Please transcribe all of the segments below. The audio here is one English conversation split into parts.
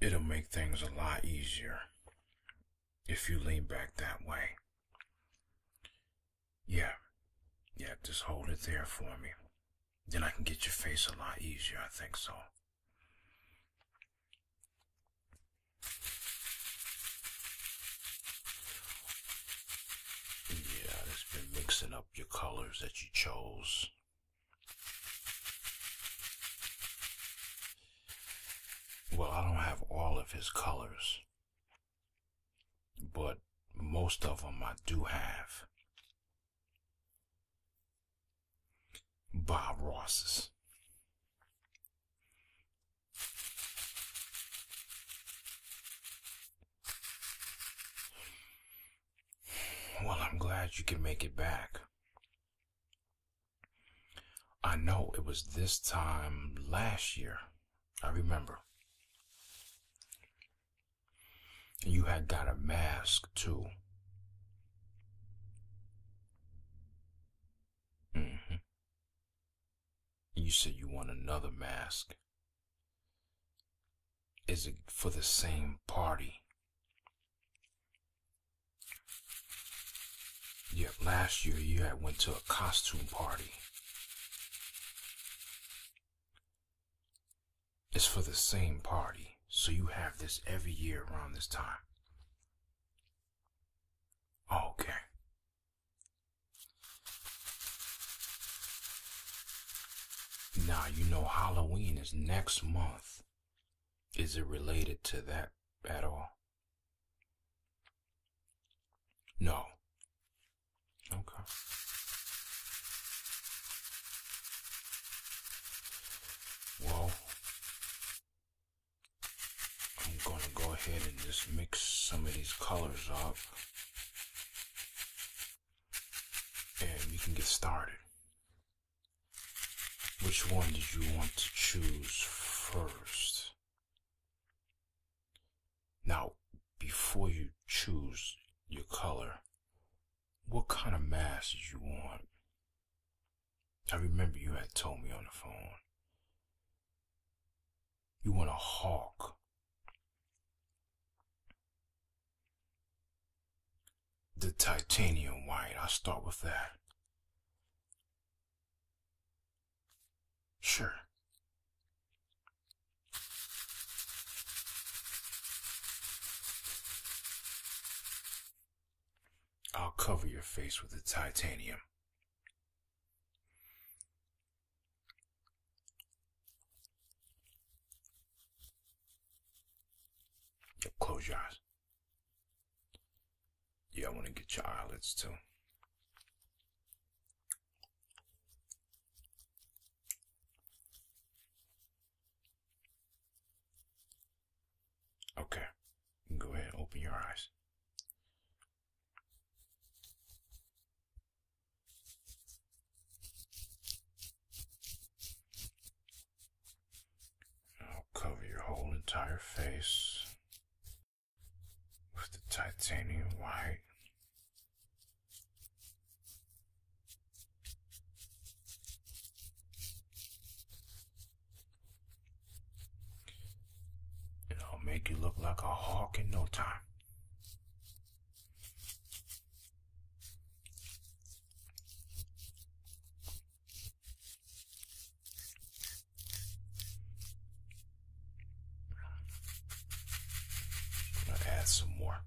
It'll make things a lot easier if you lean back that way. Yeah, yeah, just hold it there for me. Then I can get your face a lot easier, I think so. Yeah, it's been mixing your colors that you chose. Well, I don't have all of his colors, but most of them I do have. Bob Ross's. Well, I'm glad you can make it back. I know it was this time last year. I remember. You had got a mask too. Mm-hmm. You said you want another mask is it for the same party? Yep, last year you had went to a costume party. It's for the same party, so you have this every year around this time. Okay. Now, you know, Halloween is next month. Is it related to that at all? No. Okay. Well, I'm gonna go ahead and just mix some of these colors up and we can get started. Which one did you want to choose first? Now, before you choose your color, what kind of mask do you want? I remember you had told me on the phone. You want a hawk. The titanium white, I'll start with that. Sure. I'll cover your face with the titanium. Close your eyes. Yeah, I want to get your eyelids too. Okay, go ahead, open your eyes. I'll cover your whole entire face with the titanium white. And I'll make you look like a hawk in no time. I'm gonna add some more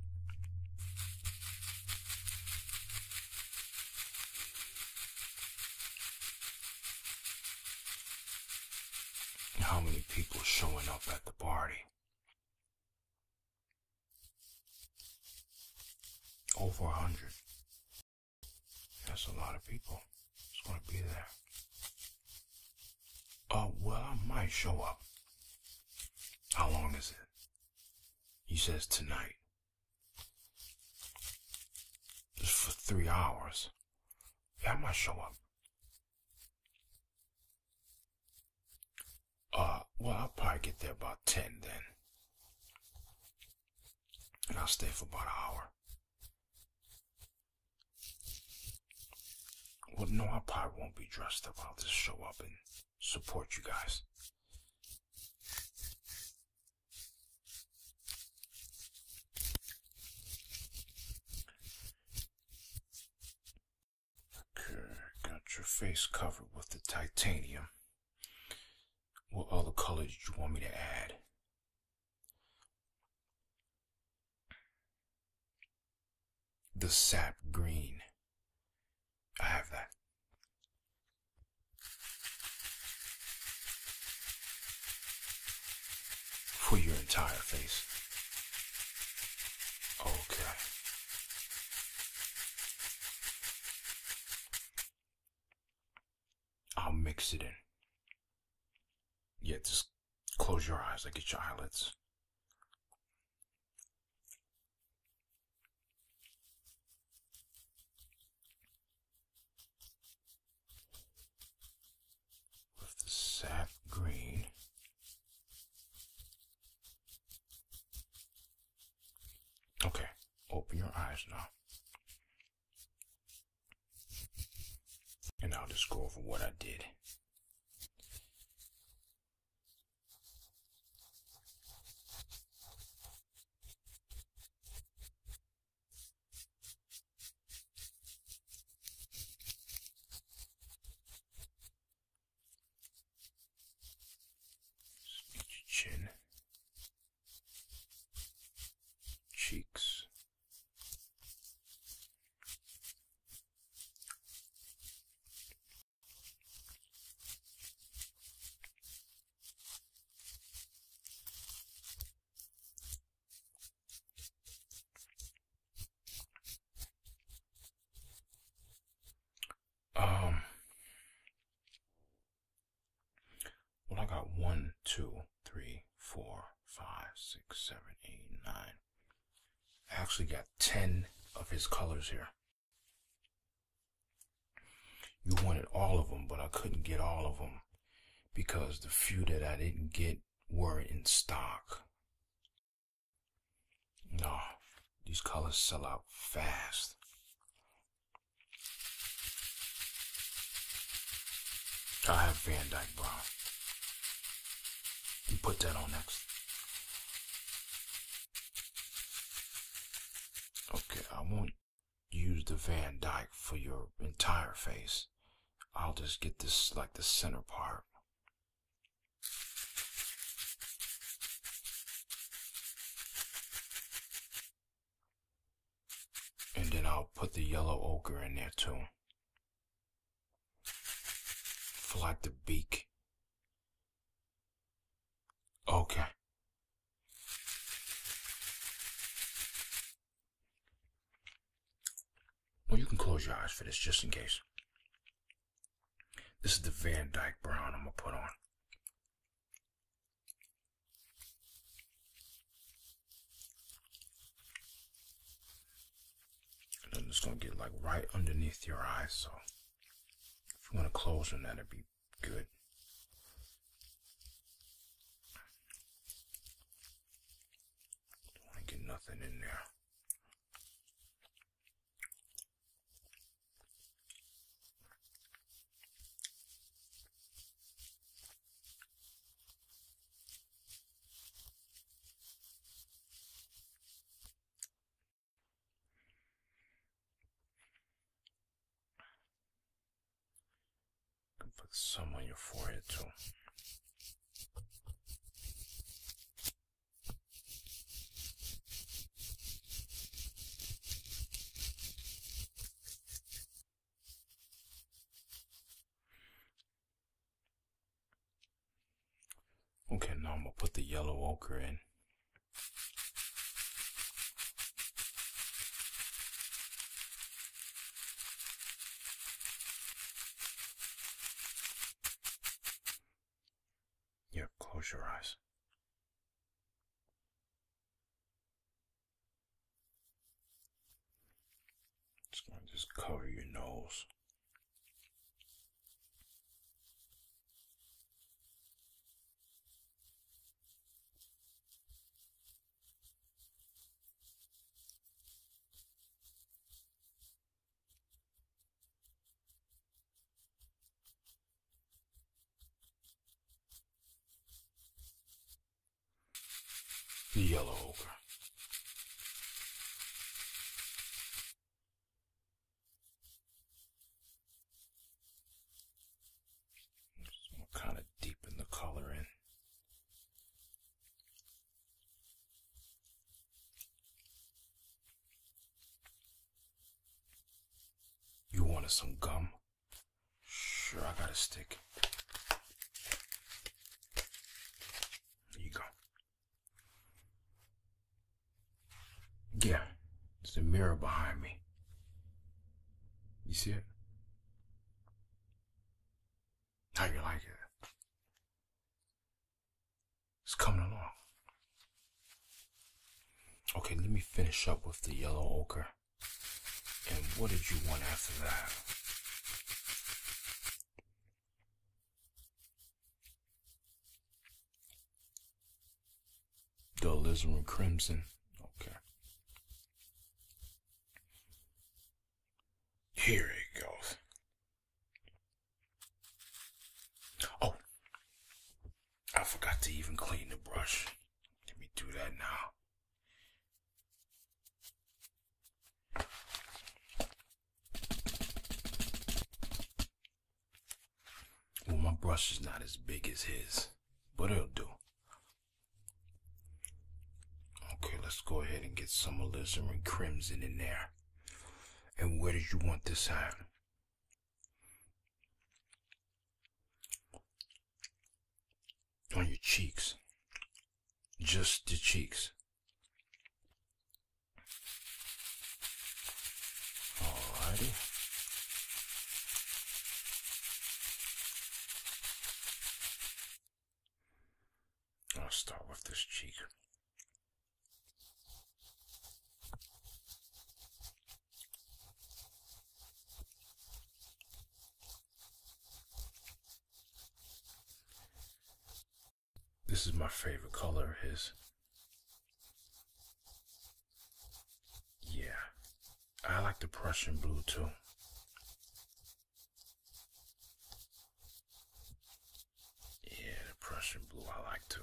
how many people showing up at the party. Over a hundred. That's a lot of people. It's gonna be there. Uh, well, I might show up. How long is it? He says tonight. Just for three hours. Yeah, I might show up. Uh, well, I'll probably get there about 10 then. And I'll stay for about an hour. Well, no, I probably won't be dressed up. I'll just show up and support you guys. Okay, got your face covered with the titanium. What other colors do you want me to add? The sap green. I have that for your entire face. Okay. I'll mix it in. Yeah, just close your eyes. I get your eyelids with the sap green. Okay, open your eyes now. And I'll just go over what I did. Speech chin. Cheeks. Um, well, I got one, two, three, four, five, six, seven, eight, nine. I actually got 10 of his colors here. You wanted all of them, but I couldn't get all of them because the few that I didn't get weren't in stock. No, these colors sell out fast. I have Van Dyke Brown. You put that on next. Okay, I want use the Van Dyke for your entire face. I'll just get this like the center part. And then I'll put the yellow ochre in there too. Flat the beak. Okay. Well, you can close your eyes for this just in case. This is the Van Dyke Brown I'm going to put on. And I'm just going to get like right underneath your eyes. So if you want to close them, that'd be good. Don't want to get nothing in there can put some on your forehead too. Okay, now I'm gonna put the yellow ochre in. Yeah, close your eyes. It's just cover your nose. The yellow ochre. Just we'll kind of deepen the color in. You wanted some gum? Sure, I got a stick. There you go. Yeah, it's a mirror behind me. You see it? How you like it? It's coming along. Okay, let me finish up with the yellow ochre. And what did you want after that? Dull and crimson. Okay. Here it goes. Oh, I forgot to even clean the brush. Let me do that now. Well, my brush is not as big as his, but it'll do. Okay, let's go ahead and get some alizarin crimson in there. And where do you want this at? On your cheeks. Just the cheeks. Alrighty. I'll start with this cheek. This is my favorite color, his. Yeah, I like the Prussian blue too. Yeah, the Prussian blue I like too.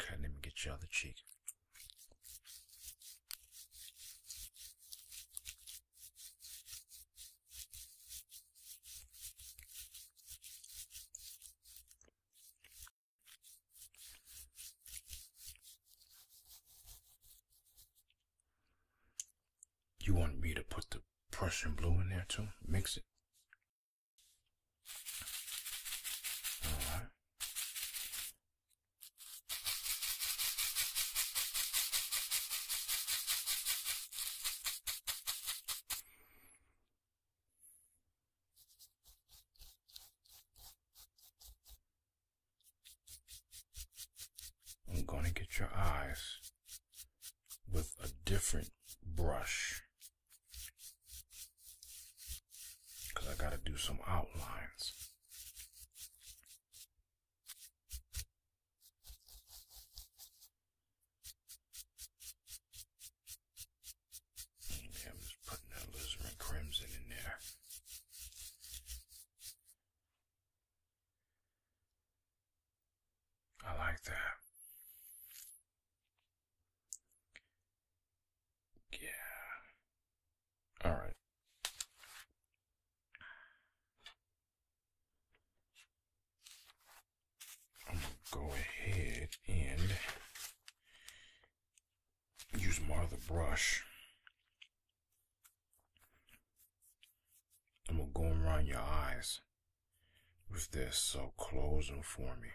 Okay, let me get your other cheek. You want me to put the Prussian blue in there too? Mix it. I'm going to get your eyes with a different brush. I got to do some outlines. I'm just putting that alizarin crimson in there. I like that. Yeah. All right. I'm gonna go ahead and use more of the brush. I'm going to go around your eyes with this, so close them for me.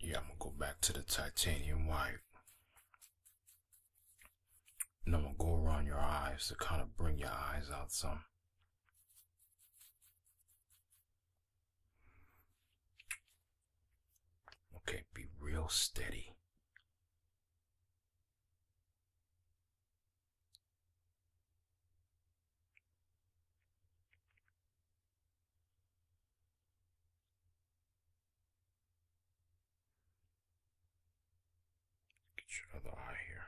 Yeah, I'm going to go back to the titanium white. And I'm gonna go around your eyes to kind of bring your eyes out some. Okay, be real steady. Get your other eye here.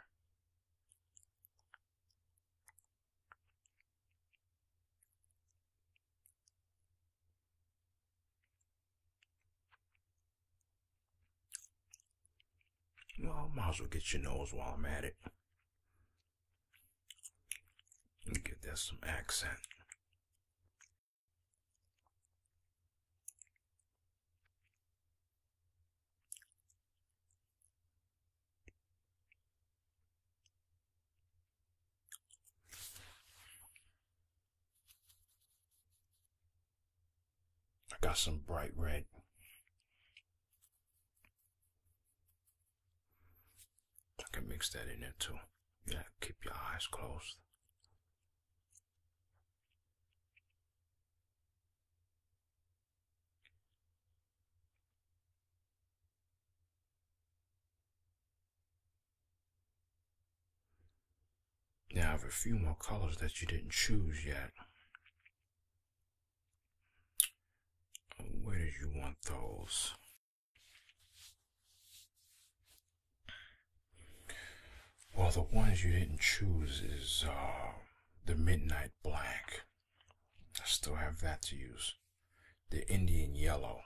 well, I might as well get your nose while I'm at it. Give that some accent. I got some bright red. I can mix that in there too. Yeah, keep your eyes closed. Now I have a few more colors that you didn't choose yet. Where did you want those? Well, the ones you didn't choose is uh, the Midnight Black. I still have that to use. The Indian Yellow.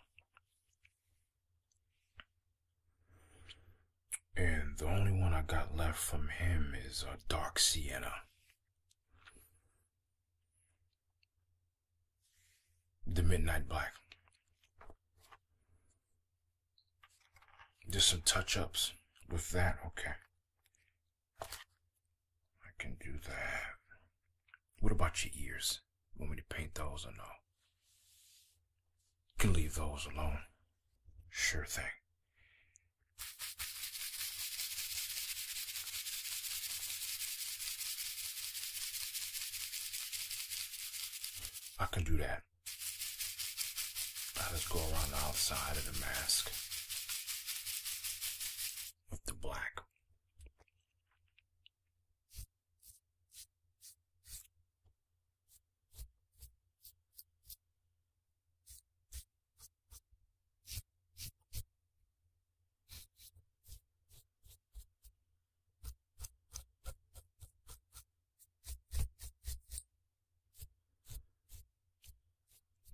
And the only one I got left from him is a uh, Dark Sienna the Midnight Black. Just some touch ups with that. Okay. I can do that. What about your ears? Want me to paint those or no? can leave those alone. Sure thing. I can do that. I just go around the outside of the mask with the black.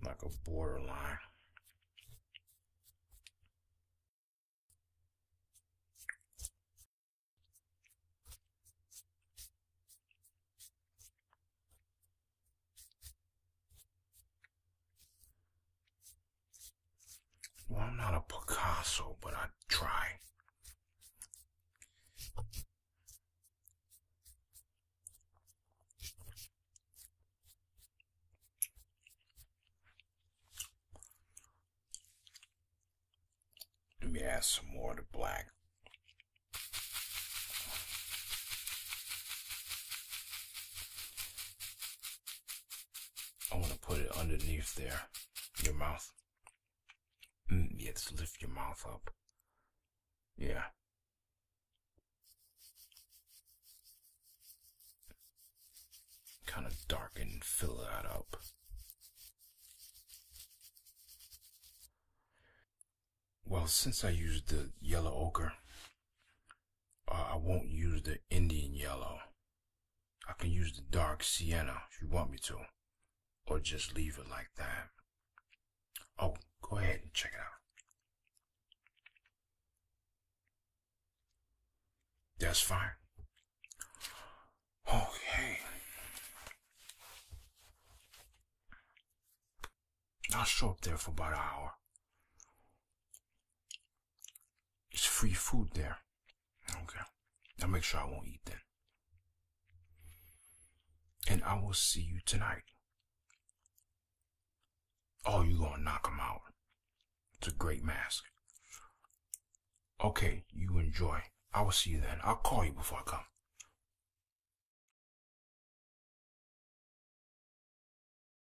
Like a borderline. Well, I'm not a Picasso, but I try. Let me add some more to black. I want to put it underneath there, your mouth. Mm, yes, lift your mouth up. Yeah. Kind of darken and fill that up. Well, since I used the yellow ochre, uh, I won't use the Indian yellow. I can use the dark sienna if you want me to. Or just leave it like that. Oh, go ahead and check it out. That's fine. Okay. I'll show up there for about an hour. It's free food there. Okay. I'll make sure I won't eat then. And I will see you tonight. Oh, you gonna knock him out. It's a great mask. Okay, you enjoy. I will see you then. I'll call you before I come.